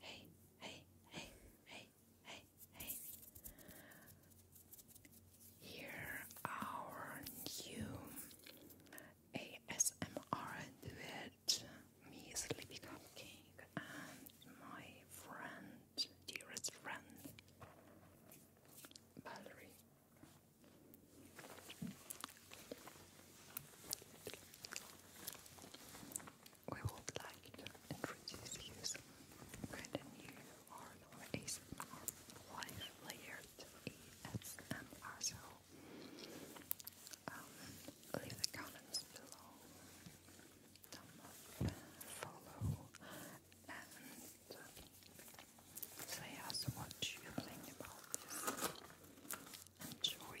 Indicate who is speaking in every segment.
Speaker 1: Hey, hey, hey, hey, hey, hey. Here our new ASMR duet, me Sleepy Cupcake and my friend, dearest friend, Valerie we would like to introduce you some brand new or ASMR layered ASMR. Um, leave the comments below, thumb up, follow, and say us what you think about this. Enjoy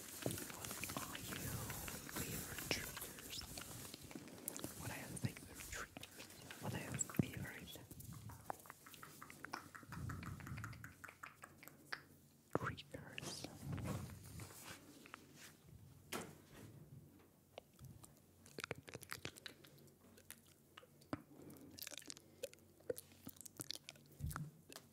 Speaker 1: What are your favorite triggers? What are your favorite triggers? What are your favorite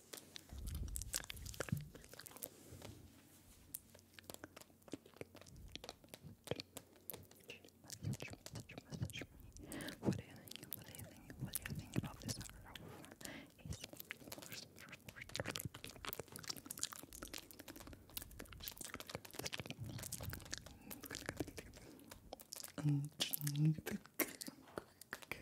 Speaker 1: Message me, message me. What do you think? What do you think? What do you think about this hour of ASMR?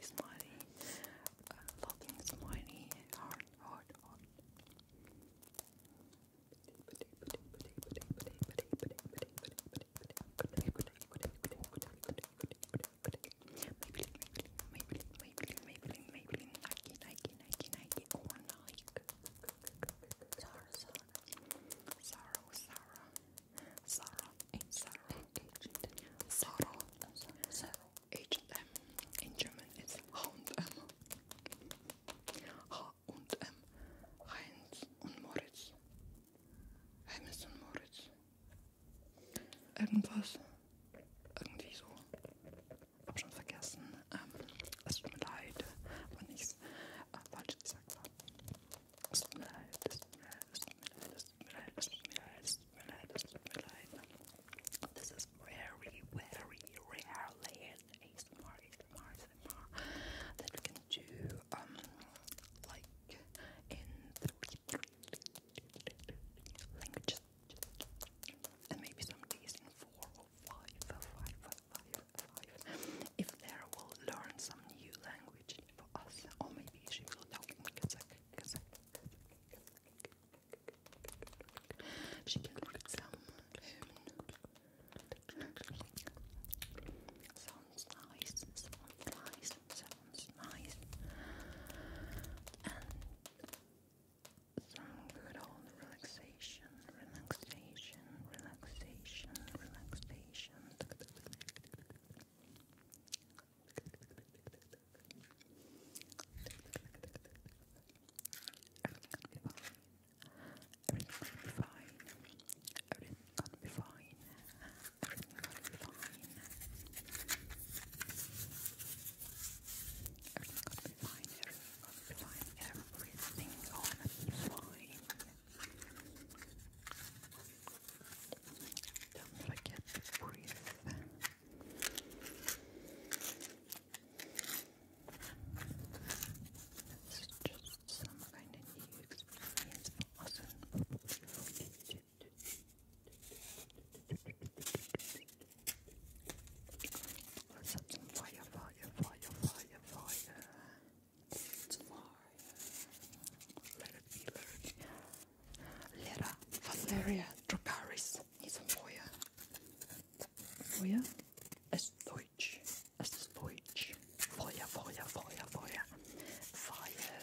Speaker 1: Smiley, smiley, a lot in smiley, hard, hard, hard. Maybelline, Maybelline, Maybelline, Maybelline, Maybelline, Nike, Nike, Nike, Nike, or Nike, Sarah, Sarah, Sarah, Sarah, Sarah, Sarah, Sarah, H&M, in German it's H&M, H&M, Heinz und Moritz, Heinz und Moritz, irgendwas, irgendwie so, hab schon vergessen, ähm, es tut mir leid, war nicht Yes. Falsch This is very, very rarely in ASMR, ASMR, ASMR that we can do, um, like in the languages. And maybe some days in four five, five, five, five. If Lara will learn some new language for us, or maybe she will talk She can read some Sounds nice, sounds nice, sounds nice. And some good old relaxation relaxation, relaxation, relaxation, relaxation. Everything's gonna be fine. Everything's gonna be fine. Everything's gonna be fine. Everything's gonna be fine. Everything's gonna be fine. I'm everything on flying. Don't forget to breathe. It's just some kind of new experience for us. Something fire, fire, fire, fire a fire. It's a fire. Let it be, let it be. Lera Valeria Dracaris ist ein Feuer. Feuer? Es ist Deutsch. Es ist Deutsch. Feuer, Feuer, Feuer, Feuer. Feuer.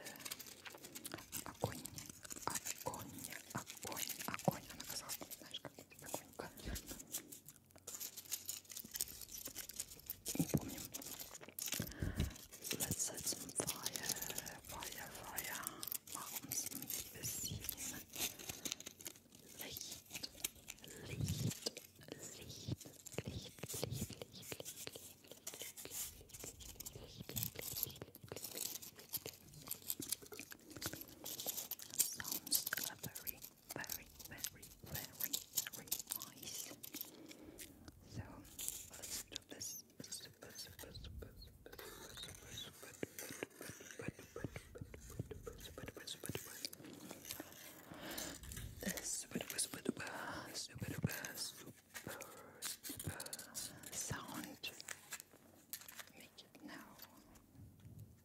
Speaker 1: Огонь, огонь, огонь, огонь. Она казалась, знаешь, как огонь, огонь. Let's set some fire, fire, fire. Machen uns ein bisschen Licht, Licht, Licht, Licht, Licht, Licht, Licht, Licht, Licht, Licht, Licht, Licht, Sounds slippery very, very, very, very nice. So let's do this. Super, super, super, super, super, super, super, super, super, super, super,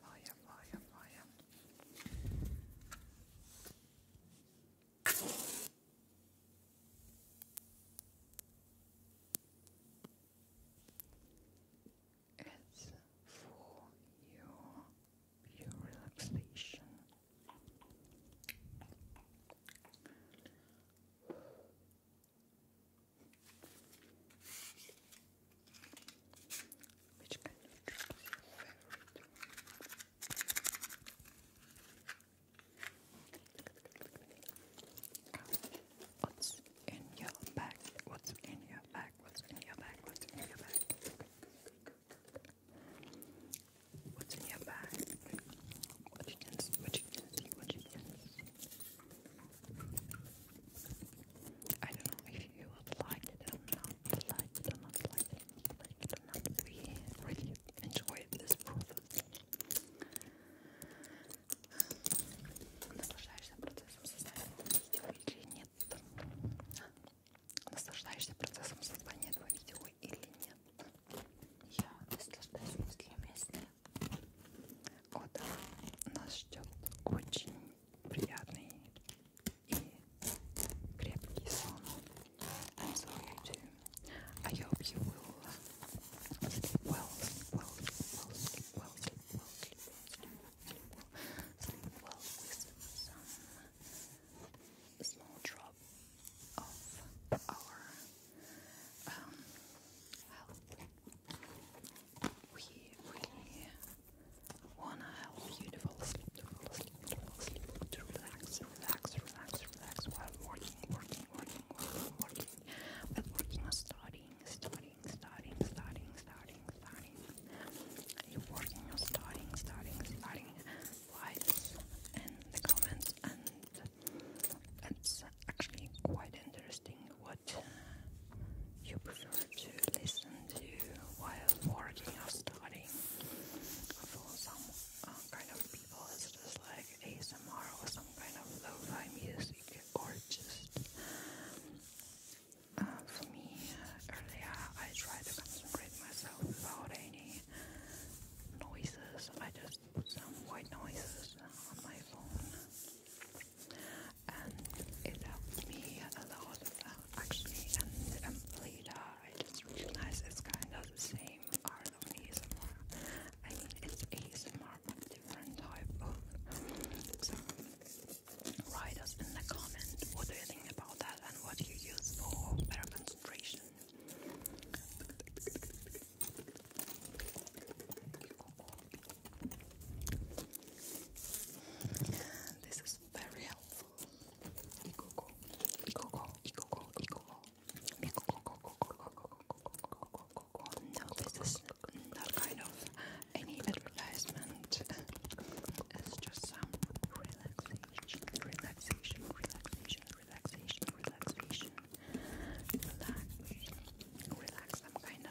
Speaker 1: fire, fire, fire. It's for your your relaxation. Which kind of drink is your favorite? What's in your bag? What's in your bag? What's in your bag? What's in your bag? What you can see, what you can see, what you can see. I don't know if you like it or not, like it or not, like it, like it or not. We really enjoyed this process. Наслаждаешься процессом создания видео или нет? Наслаждаешься процессом создания этого видео или нет? Я наслаждаюсь мыслями, О да, нас ждет очень приятный и крепкий сон. i hope you will we really wanna help you to fall asleep, to fall to relax, relax, relax, relax while working, working, working, working, while working on studying, studying, studying, studying, studying, studying. You're working on studying, studying, studying. Likes and the comments and it's actually quite interesting what you prefer to listen to while working or studying. For some uh, kind of people, it's just like ASMR or some kind of low fi music, or just um, for me earlier, I try to concentrate myself without any noises. I just put some white noises on my phone and it helped me a lot actually. And um, later I just realized it's kind of the same art ASMR. I mean, it's ASMR but different type of. write us in the comment what do you think about that and what you use for better concentration. This is very helpful. Ikoko, ikoko, ikoko, ikoko, ikoko, No, this is not kind of any advertisement. It's just some relaxation, relaxation, relaxation, relaxation, relaxation. Relax, relax. I'm kind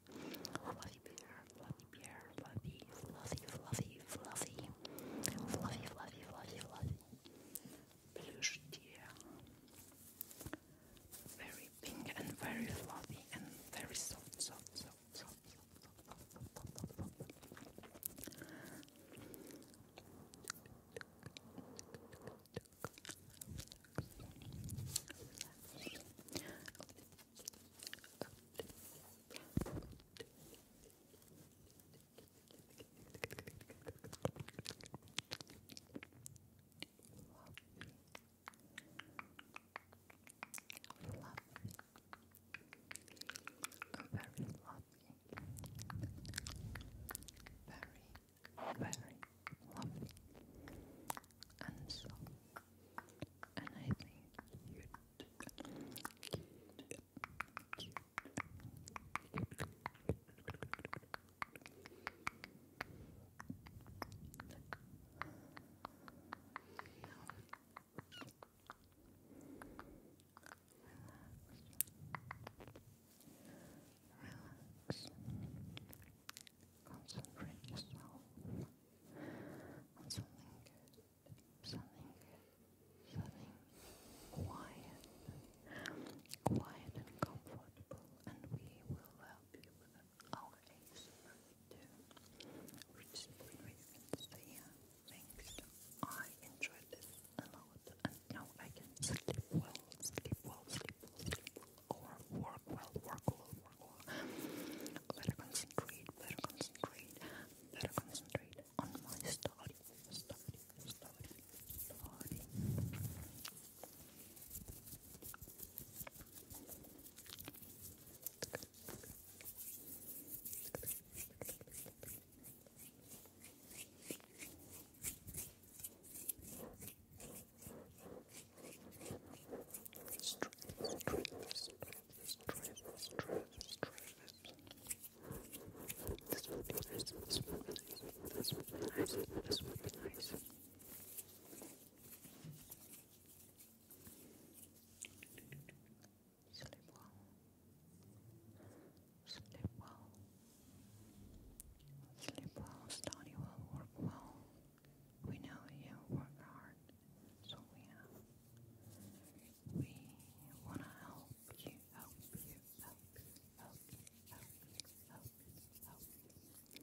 Speaker 1: Fluffy bear, fluffy bear, fluffy, fluffy, fluffy, fluffy, fluffy, fluffy, fluffy, fluffy. Plush deer. Very pink and very fluffy and very soft, soft, soft, soft, soft, soft, soft, soft, soft, soft. Relax, relax, relax, very lovely. Very, very lovely and so, And I think cute, cute, cute. relax, relax. Concentrate yourself on something good, something good, something quiet, quiet and comfortable, and we will help you with our ASMR too, which where you can see I enjoy this a lot, and now I can sleep well, sleep well, sleep well or work well, work well, work well. Better concentrate, better concentrate, better concentrate on my study, study, study, study. Strength, strength, Sleep well. Sleep well. Sleep well, study well, work well. We know you work hard, so we We want to help you, help you, help you, help help help help you.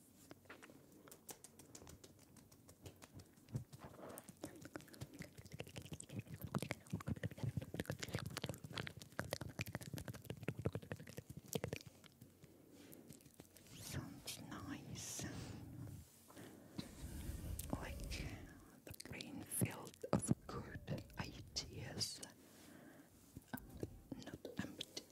Speaker 1: Sounds nice, like the green field of good ideas, um, not empty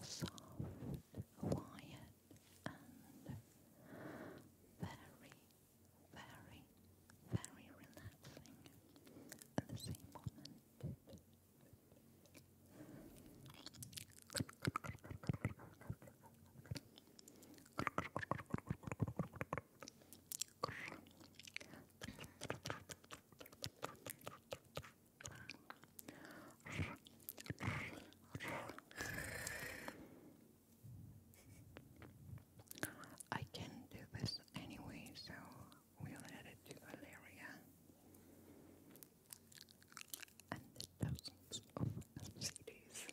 Speaker 1: soft, quiet, and very, very, very relaxing at the same moment. I can do this anyway, so we'll add to Valeria and thousands of CDs.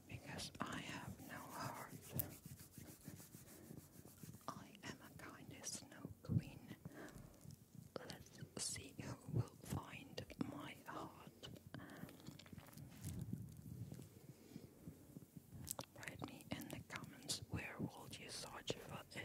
Speaker 1: because I have no heart. I am a kind snow queen. Let's see who will find my heart. Write me in the comments where will you search for it.